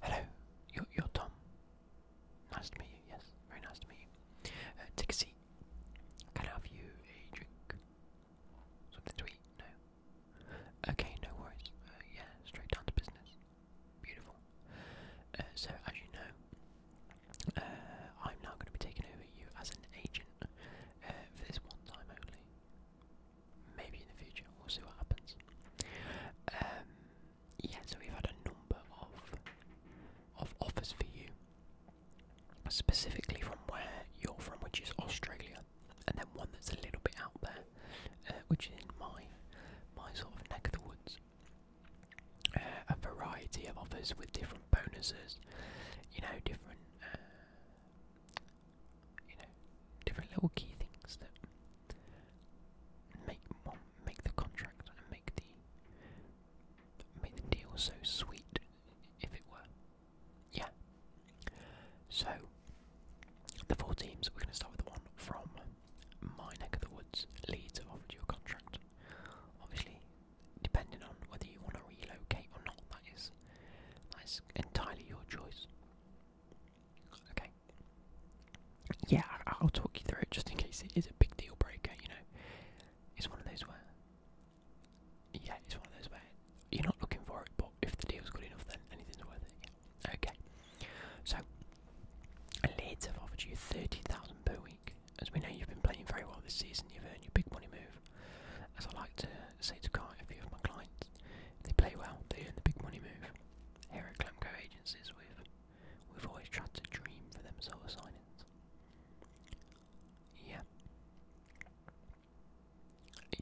Hello, you're, you're Tom. Nice to meet you, yes, very nice to meet you. Uh, take a seat. Can I have you a drink? Something to eat? No. Okay, no worries. Uh, yeah, straight down to business. Beautiful. Uh, so, as you know, I'm now going to be taking over you as an agent for this one time only maybe in the future, we'll see what happens. Um, yeah, so we've had a number of of offers for you, specifically from where you're from, which is Australia, and then one that's a little bit out there, uh, which is in my my sort of neck of the woods. Uh, a variety of offers with different bonuses, you know, different uh, you know, different little key things that make make the contract and make the make the deal so sweet, if it were. Yeah. So the four teams. We're going to start with the one from my neck of the woods. Leeds have offered you a contract. Obviously, depending on whether you want to relocate or not, that is that is entirely your choice. Okay. Yeah, I will talk you through it just in case it is a big deal breaker. You know, it's one of those where. Yeah, it's one of those where you're not looking for it, but if the deal's good enough, then anything's worth it. Yeah. Okay. So, Leeds have offered you thirty thousand per week. As we know, you've been playing very well this season. You've earned your big money move. As I like to say to quite a few of my clients, they play well, they earn the big money move. Here at Glamco Agencies, we've, we've always tried to dream for them sort of signings. Yeah.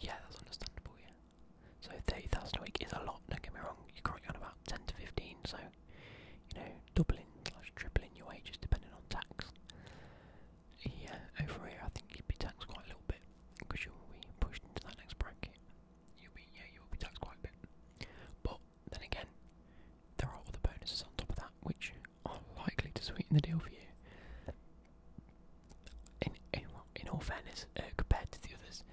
Yeah, that's understandable, yeah. So 30,000 a week is a lot, don't get me wrong, you're currently on about 10 to 15, so, you know, doubling slash tripling your wages depending on tax here, over here, I think you'd be taxed quite a little bit because you'll be pushed into that next bracket. You'll be, yeah, you'll be taxed quite a bit. But then again, there are other bonuses on top of that which are likely to sweeten the deal for you. In in, in all fairness, uh, compared to the others,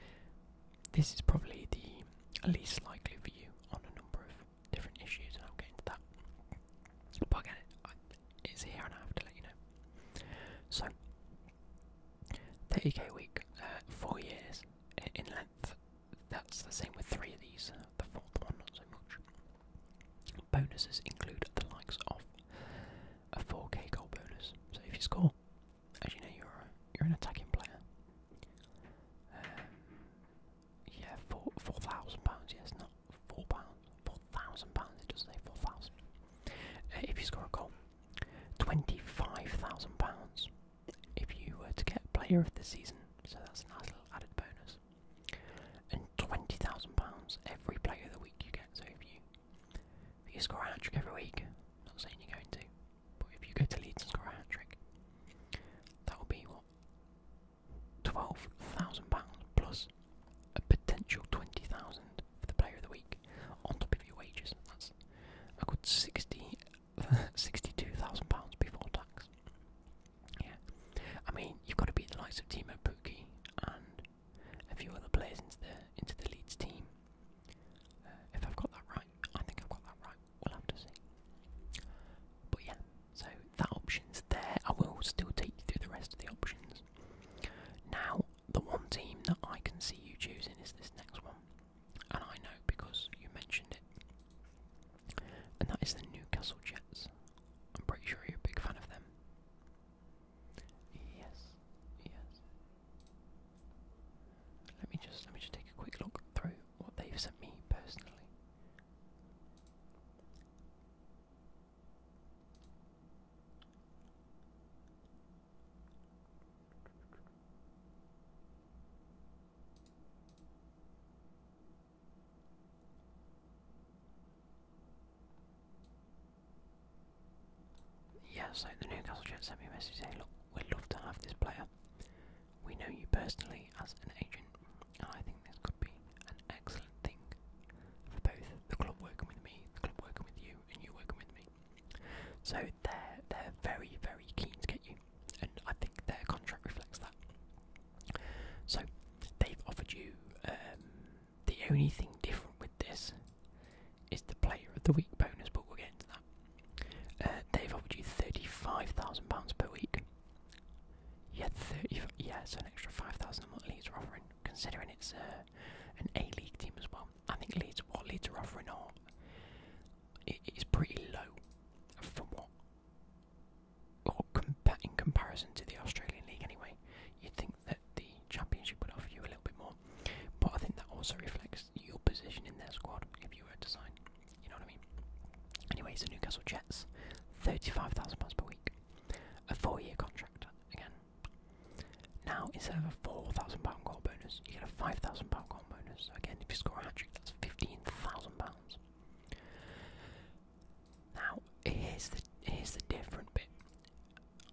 this is probably the least likely for you on a number of different issues, and I'll get into that. But is here, and I have to let you know. So, 30k a week, uh, four years in length. That's the same with three of these. Uh, the fourth one, not so much. Bonuses include the likes of a 4k goal bonus. So if you score, as you know, you're you're an attacking player. Um, yeah, four four thousand pounds. Yes, not four pounds, four thousand pounds. It does say four thousand. Uh, if you score a goal, twenty-five thousand pounds. If you were to get Player of the Season, so that's a nice little added bonus. And twenty thousand pounds every Player of the Week you get. So if you you score a hat trick every week, not saying you're going to, but if you go to Leeds and score a hat trick, that will be what £12,000 plus a potential 20000 for the player of the week on top of your wages. That's a good 60, £62,000 before tax. Yeah. I mean, you've got to beat the likes of Timo Pukki and a few other players into the, into the Leeds team. Uh, if I've got that right, I think I've got that right. We'll have to see. But yeah, so that option's there. I will still take you through the rest of the options. Now, the one team that I can see you choosing is this next one, and I know because you mentioned it, and that is the Newcastle Jets. I'm pretty sure you're a big fan of them. Yes, yes. Let me just let me just take a quick look through what they've sent me personally. Yeah, so the Newcastle chat sent me a message saying, Look, we'd love to have this player. We know you personally as an agent, and I think this could be excellent thing for both the club working with me, the club working with you, and you working with me. So they're they're very very keen to get you, and I think their contract reflects that. So they've offered you. Um, the only thing different with this is the player of the week bonus, but we'll get into that. Uh, they've offered you thirty-five thousand pounds per week, yeah, you yeah, so an extra 5,000 than what Leeds are offering, considering it's uh, an A-League team as well. I think leads. what Leeds are offering are, it, it's pretty low from what, or in comparison to the Australian League anyway. You'd think that the Championship would offer you a little bit more, but I think that also reflects your position in their squad if you were to sign. You know what I mean? Anyway, so Newcastle Jets, £35,000 per week. A four year contract, again. Now, instead of a £4,000 goal bonus, you get a £5,000 goal bonus. again, if you score a hat trick, that's £15,000. Now, here's the, here's the different bit.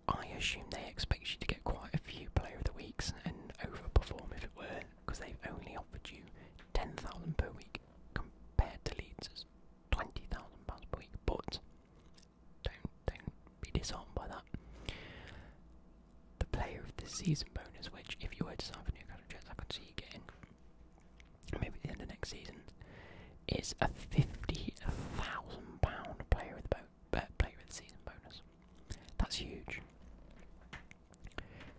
I assume they expect you to get quite a few Player of the Weeks and overperform if it were, because they've only offered you 10,000 per week compared to Leeds twenty thousand pounds per week. But don't don't be disarmed by that. The player of the season bonus, which if you were to sign for Newcastle Jets, I could see you getting maybe at the end of next season, is a fifty thousand pound player of the uh, player of the season bonus. That's huge.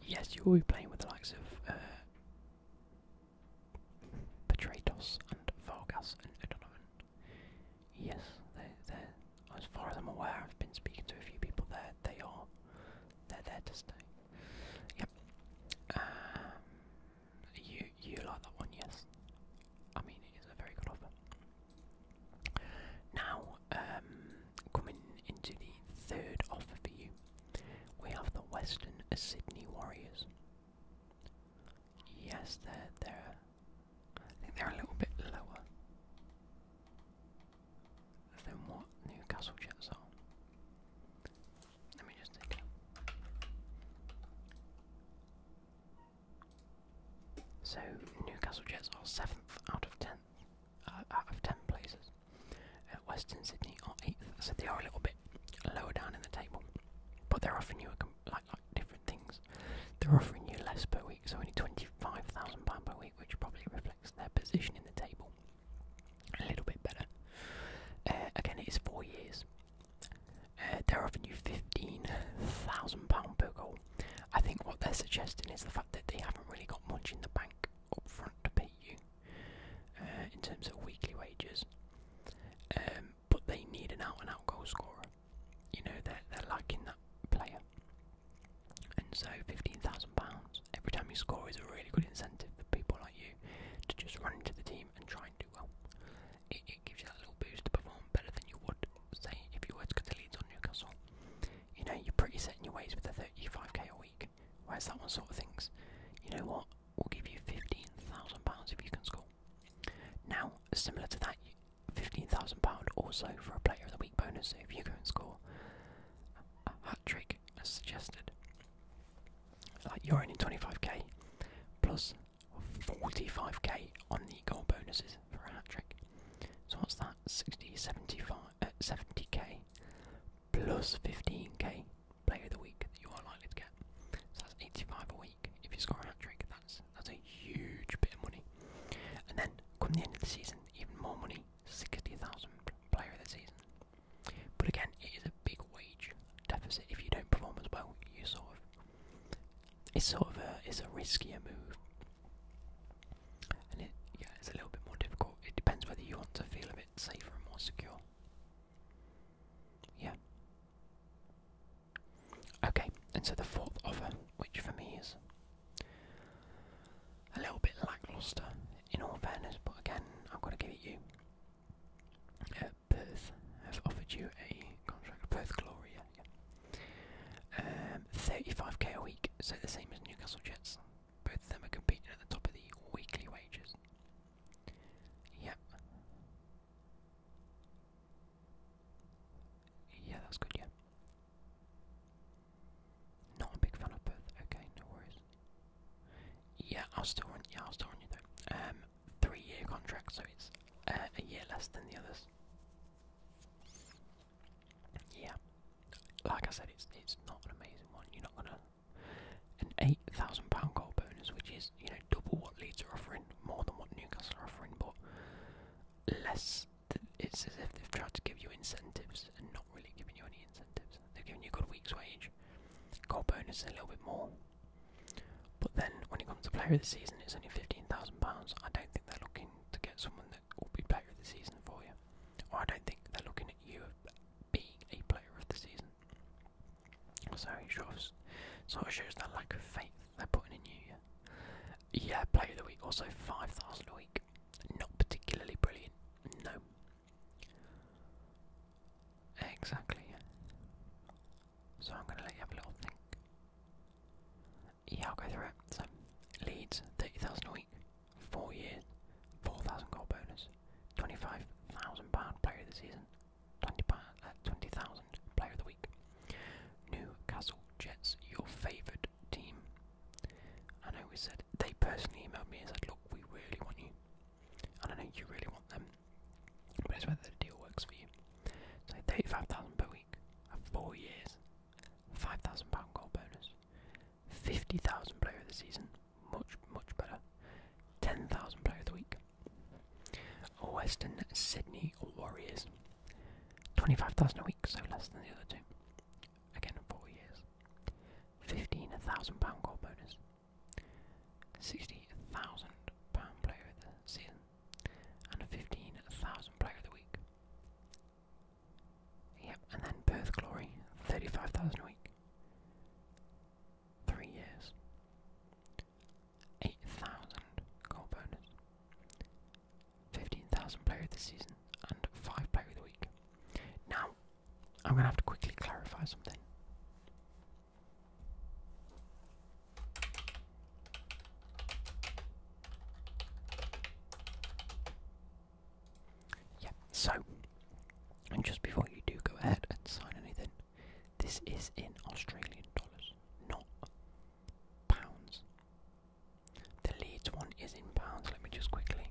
Yes, you will be playing with the likes of uh, and Vargas and O'Donovan. Yes, they're, as far as I'm aware, I've been speaking to a few people there. They are they're there to stay. Yep. Um, you you like that one? Yes. I mean, it is a very good offer. Now, um, Coming into the third offer for you, we have the Western Sydney Warriors. Yes, they're they're I think they're a little bit lower than what Newcastle Jets are. Let me just take So Newcastle Jets are seventh out of ten out of 10 places. Uh, Western Sydney are 8th, so they are a little bit lower down in the table. But they're offering you a like, different things. They're offering you less per week, so only £25,000 per week, which probably reflects their position in the table a little bit better. Uh, again, it is four years. Uh, they're offering you £15,000 per goal. I think what they're suggesting is the fact that they haven't really got much in the bank like upfront to pay you uh, in terms of weekly wages. Um, but they need an out and out goal scorer. You know, they're, they're lacking that player. And so £15,000 every time you score is a really good incentive for people like you to just run into the team and try and do well. It, gives you that little boost to perform better than you would, say, if you were to go the leads on Newcastle you know, you're pretty set in your ways with the 35k a week. Whereas that one sort of thinks, you know what, we'll give you £15,000 if you can score. Now, similar to that, £15,000 also for a Player of the Week bonus if you go and score a hat trick as suggested. Like you're only 25k plus 45k on the goal bonuses for a hat trick. So what's that? 60, 75, at 70k plus 15k player of the week that you are likely to get. So that's 85 a week. If you score a hat trick, that's that's a huge bit of money. And then come the end of the season, even more money, 60,000 player of the season. But again, it is a big wage deficit if you don't perform as well. You sort of it's sort of a it's a riskier move it yeah it's a little bit more difficult. It depends whether you want to feel a bit safer and more secure. Yeah. Okay, and so the fourth offer, which for me is a little bit lackluster, in all fairness, but again, I've got to give it you. Uh, Perth have offered you a contract. Perth Gloria again. Um, 35k a week, so the same as Newcastle Jets. Both of them are competing at the top of the weekly wages. Yeah. Yeah, that's good, yeah. Not a big fan of Perth, okay, no worries. Yeah, I'll still run yeah, I'll still run you though. Um three year contract so it's uh, a year less than the others yeah, like I said, it's it's not an amazing one. You're not gonna an eight thousand pound goal bonus, which is you know double what Leeds are offering, more than what Newcastle are offering, but less. Th it's as if they've tried to give you incentives and not really giving you any incentives. They've given you a good week's wage, goal bonus a little bit more. But then when it comes to player of the season, it's only fifteen thousand pounds. I don't think they're looking to get someone will be player of the season for you. I don't think they're looking at you being a player of the season. So it sort of, shows that lack of faith they're putting in you. Yeah, yeah player of the week, also 5,000 a week. Not particularly brilliant, no. Exactly. So I'm going to let you have a little think yeah, I'll go through it. So, Leeds, 30,000 a week, 4 years, 4,000 goal bonus, 25,000 pound player of the season, 20,000 uh, 20, player of the week. Newcastle Jets, your favourite team. I know we said, they personally emailed me and said, look, we really want you. And I know you really want them, but it's whether the deal works for you. So thirty-five thousand per week for four years, five thousand pound goal bonus, fifty thousand player of the season, much much better, ten thousand player of the week. Western Sydney Warriors, twenty-five thousand a week, so less than the other two. Again, four years, fifteen thousand pound goal bonus, sixty thousand pound player of the season and 15,000 Player of the Week. Yep, and then Perth Glory, 35,000 a week. Three years. 8,000 goal bonus. 15,000 Player of Season, and 5 Player of the Week. Now, I'm going to have to quickly clarify something. Yeah, so, and just before you do go ahead and sign anything, this is in Australian dollars, not pounds. The Leeds one is in pounds, let me just quickly.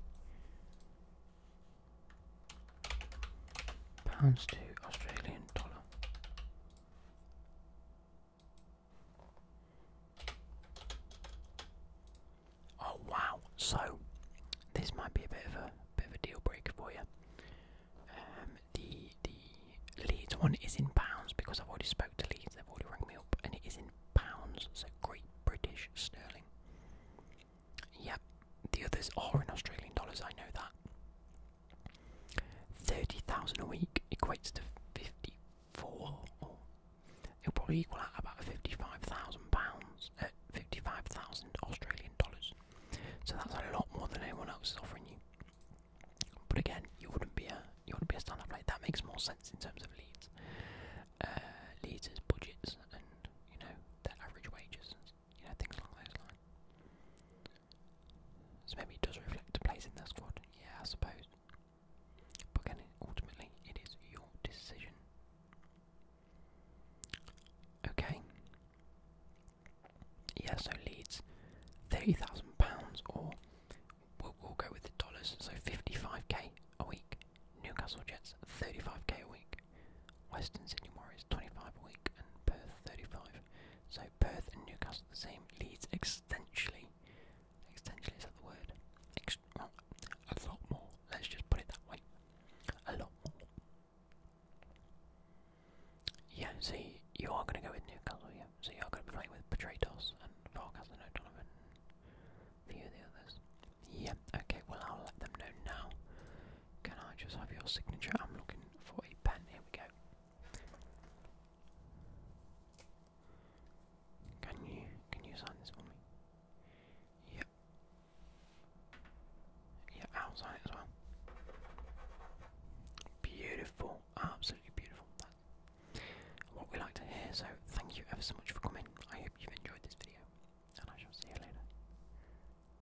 Pounds to Australian dollar. Oh wow! So this might be a bit of a bit of a deal breaker for you. Um, the the Leeds one is in pounds because I've already spoke to Leeds. They've already rang me up, and it is in pounds. So Great British sterling. Yep. The others are in Australian dollars. I know that. Thirty thousand a week equates to fifty-four. Or it'll probably equal out about fifty-five thousand pounds at uh, fifty-five thousand Australian dollars. So that's a lot more than anyone else is offering you. But again, you wouldn't be a you wouldn't be a stand like that. Makes more sense in terms of leads, uh, leads, leaders' budgets, and you know their average wages you know, things along those So maybe it does reflect a place in the squad, yeah, I suppose. But again, ultimately, it is your decision. Okay. Yeah, so Leeds, £30,000 or we'll, we'll go with the dollars, so 55k a week. Newcastle Jets, 35k a week. Western Sydney Warriors, 25 a week. And Perth, 35. So Perth and Newcastle the same. Leeds extensionally. Extensionally is that the word? a lot more. Let's just put it that way. A lot more. Yeah, so you, are going to go with Newcastle, yeah. So you are going to be playing with Patratos and Farkas and O'Donovan. few the others. Yeah, okay, well, I'll let them know now. Can I just have your signature? I'm looking for a pen. Here we go. Can you can you sign this for me? Yep. Yeah, i as well. Beautiful, absolutely beautiful. That's what we like to hear. So thank you ever so much for coming. I hope you've enjoyed this video, and I shall see you later.